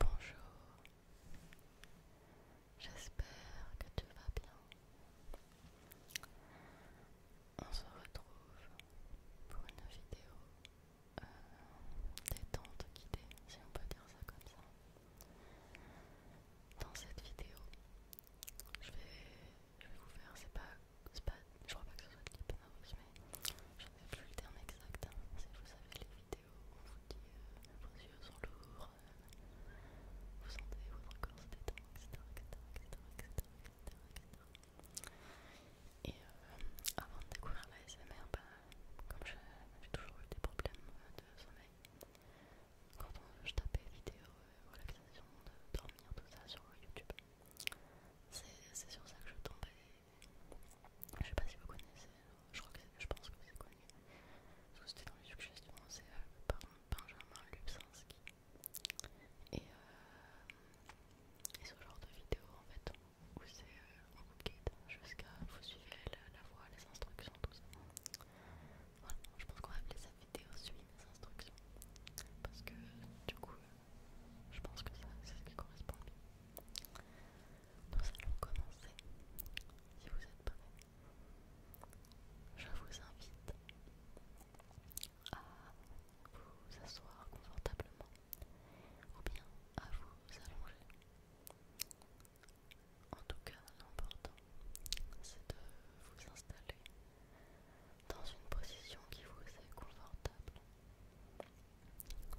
Bonjour, j'espère que tu vas bien. On se retrouve pour une vidéo euh, détente guidée, si on peut dire ça comme ça. Dans cette vidéo, je vais, je vous faire, c'est pas pas, je crois pas que ce soit type nerveuse, mais je ne plus le terme exact. Hein. vous savez les vidéos, on vous dit euh, vos yeux sont lourds, euh, vous sentez votre corps se détendre, etc., Et avant de découvrir la SMR, bah, comme j'ai toujours eu des problèmes euh, de sommeil, quand je tapais vidéo, euh, relaxation, de dormir, tout ça sur YouTube, c'est sur ça que je tombais Je sais pas si vous connaissez, je, crois que je pense que c'est connu. Parce que c'était dans les suggestions, c'est euh, par Benjamin Lubzinski. Euh, et, ce genre de vidéo en fait, où c'est euh, en on guide jusqu'à vous suivez la, la voie, les instructions, tout ça. Voilà, je pense qu'on va appeler ça vidéo suit mes instructions parce que du coup je pense que ça c'est ce qui correspond Nous allons commencer si vous êtes prêts. Je vous invite à vous asseoir confortablement ou bien à vous allonger. En tout cas, l'important c'est de vous installer dans une position qui vous est confortable.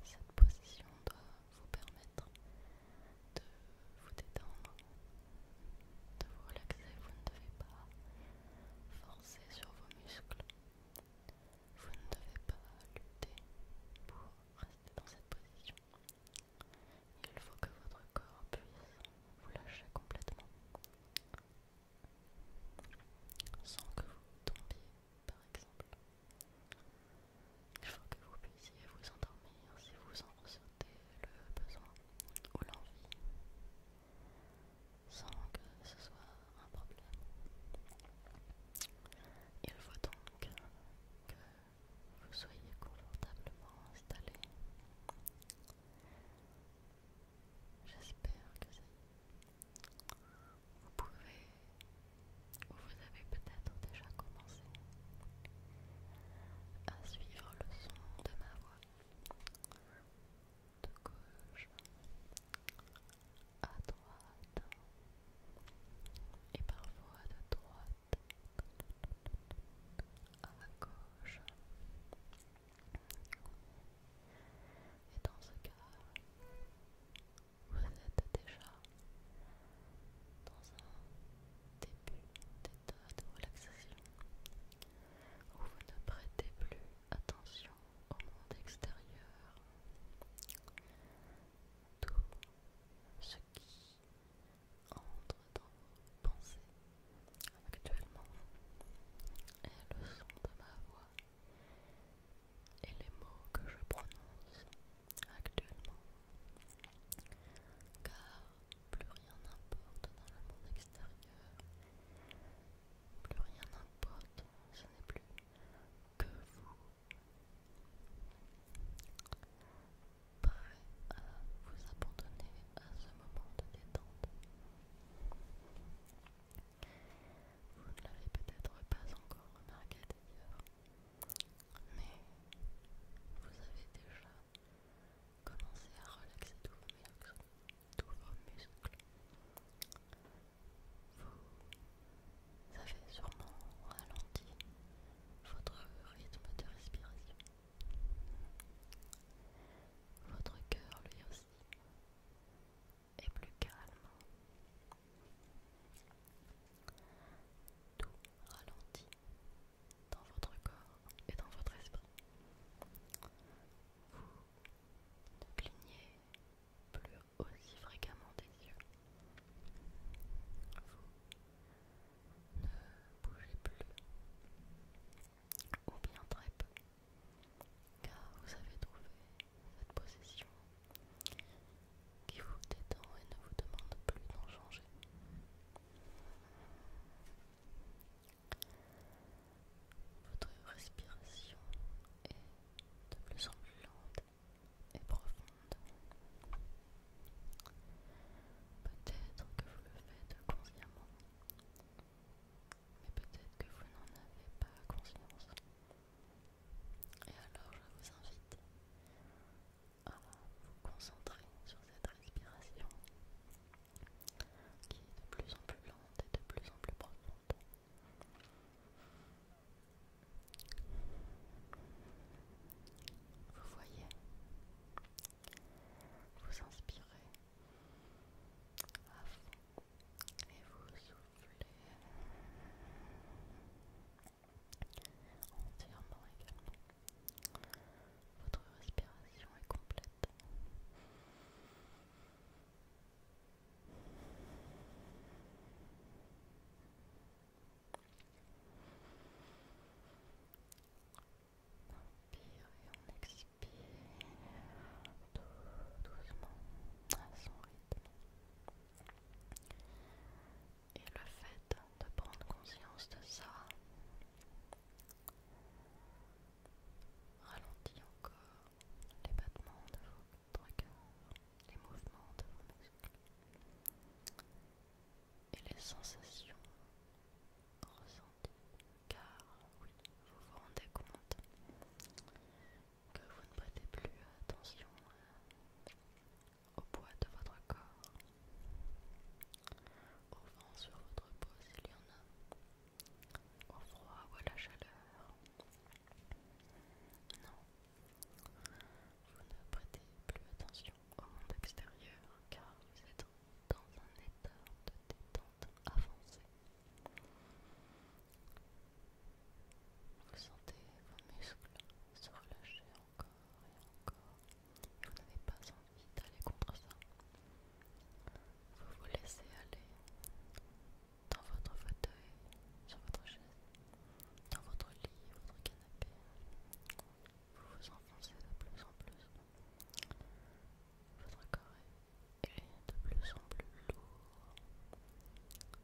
Cette position doit vous permettre de vous détendre, de vous relaxer. Vous ne devez pas forcer sur vos muscles. Vous ne devez pas lutter pour rester dans cette position. Il faut que votre corps puisse vous lâcher complètement sans que vous tombiez par exemple. Il faut que vous puissiez vous endormir si vous en ressentez le besoin ou l'envie, sans que ce soit un problème. Il faut donc que vous soyez confortablement installé. J'espère que Vous pouvez, ou vous avez peut-être déjà commencé à suivre le son de ma voix de gauche à droite et parfois de droite à gauche. Et dans ce cas, vous êtes déjà dans un début d'état de relaxation où vous ne prêtez plus attention au monde extérieur. Tout ce qui entre dans vos pensées actuellement et le son de ma voix et les mots que je prononce actuellement. Car plus rien n'importe dans le monde extérieur, plus rien n'importe, ce n'est plus que vous. Prêt à vous abandonner à ce moment de détente vous ne l'avez peut-être pas encore remarqué d'ailleurs, mais vous avez déjà commencé à relaxer tous vos muscles. Vous avez sûrement ralenti votre rythme de respiration votre cœur lui aussi est plus calme. Tout ralentit dans votre corps et dans votre esprit. Vous ne clignez plus aussi fréquemment des yeux. Vous ne bougez plus ou bien très peu car vous avez trouvé cette possession qui vous détend et ne vous demande plus d'en changer. Votre respiration est de plus en plus lente et profonde. Peut-être que vous le faites consciemment, mais peut-être que vous n'en avez pas conscience. Et alors je vous invite à vous concentrer sur cette respiration qui est de plus en plus lente et de plus en plus profonde. Vous voyez, vous inspirez et vous soufflez entièrement également. Votre respiration est complète. On inspire et on expire doucement à son rythme. Et le fait de prendre conscience de ça ralentit encore les battements de vos cœurs, les mouvements de vos muscles et les sensations ressenties car oui, vous vous rendez compte que vous ne prêtez plus attention euh, au poids de votre corps, au vent sur votre peau s'il y en a, au froid ou à la chaleur. Non, vous ne prêtez plus attention au monde extérieur car vous êtes dans un état de détente avancée. Vous sentez vos muscles se relâcher encore et encore. Vous n'avez pas envie d'aller contre ça. Vous vous laissez aller dans votre fauteuil, sur votre chaise, dans votre lit, votre canapé. Vous vous enfoncez de plus en plus. Votre corps est de plus en plus lourd,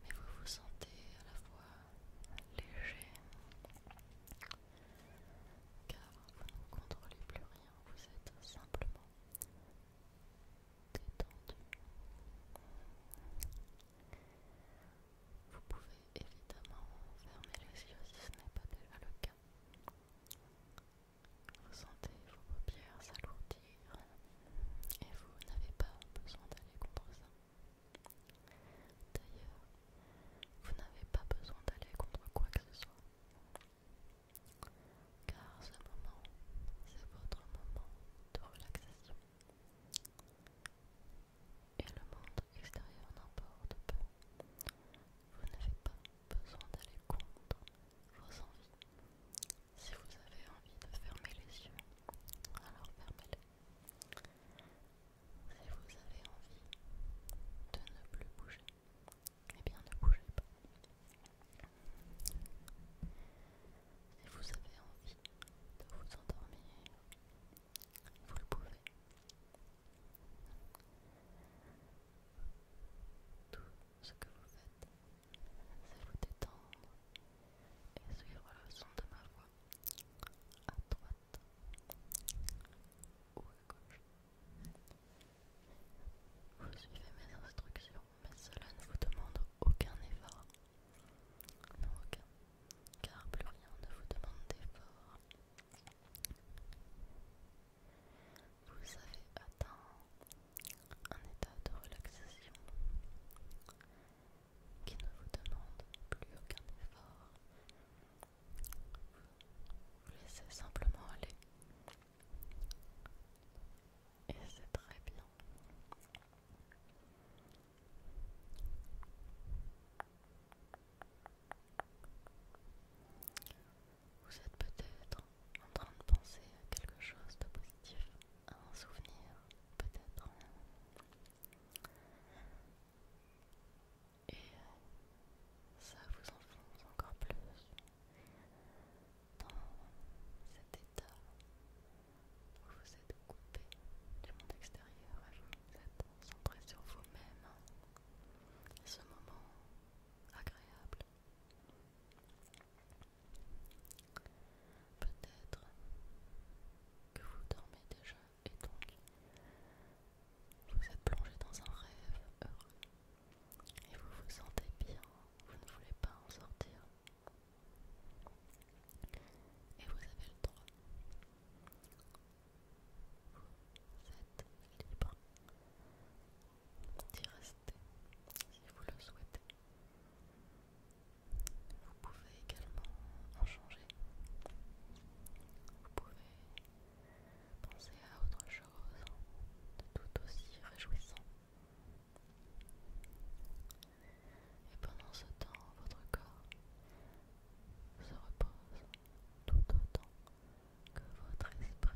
mais vous vous sentez à la fois léger, car vous ne contrôlez plus rien, vous êtes simplement détendu. Vous pouvez évidemment fermer les yeux si ce n'est pas déjà le cas. Vous sentez vos paupières s'alourdir et vous n'avez pas besoin d'aller contre ça. D'ailleurs, vous n'avez pas besoin d'aller contre quoi que ce soit. Car ce moment, c'est votre moment de relaxation. Et le monde extérieur n'importe pas, Vous n'avez pas besoin d'aller contre vos envies. Si vous avez envie de fermer les yeux, alors fermez-les. Si vous avez envie de ne plus bouger, et eh bien ne bougez pas. Si vous avez envie de vous endormir, vous le pouvez. Tout ce que vous faites, c'est vous détendre et suivre le son de ma voix à droite ou à gauche. Vous suivez mes instructions, mais cela ne vous demande aucun effort. Non, aucun. Car plus rien ne vous demande d'effort. Vous avez atteint un état de relaxation qui ne vous demande plus aucun effort. Vous laissez simplement aller. Et c'est très bien. Vous êtes peut-être en train de penser à quelque chose de positif, à un souvenir, peut-être. Et ça vous enfonce encore plus dans cet état où vous êtes coupé du monde extérieur vous êtes centré sur vous-même ce moment agréable. Peut-être que vous dormez déjà et donc vous êtes plongé dans un rêve heureux et vous vous sentez bien, vous ne voulez pas en sortir et vous avez le droit vous êtes libre d'y rester si vous le souhaitez. Vous pouvez également en changer. Vous pouvez penser à autre chose de tout aussi réjouissant. Et pendant ce temps, votre corps se repose tout autant que votre esprit je vais donc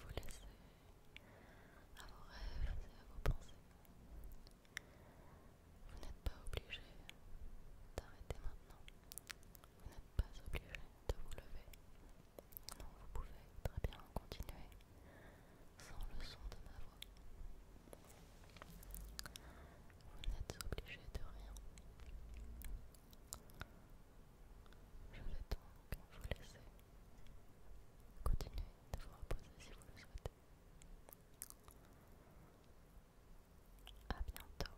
vous laisser à vos rêves et à vos pensées. Vous n'êtes pas obligé d'arrêter maintenant. Vous n'êtes pas obligé de vous lever vous pouvez très bien continuer sans le son de ma voix. Vous n'êtes obligé de rien. Je vais donc vous laisser continuer de vous reposer si vous le souhaitez. À bientôt.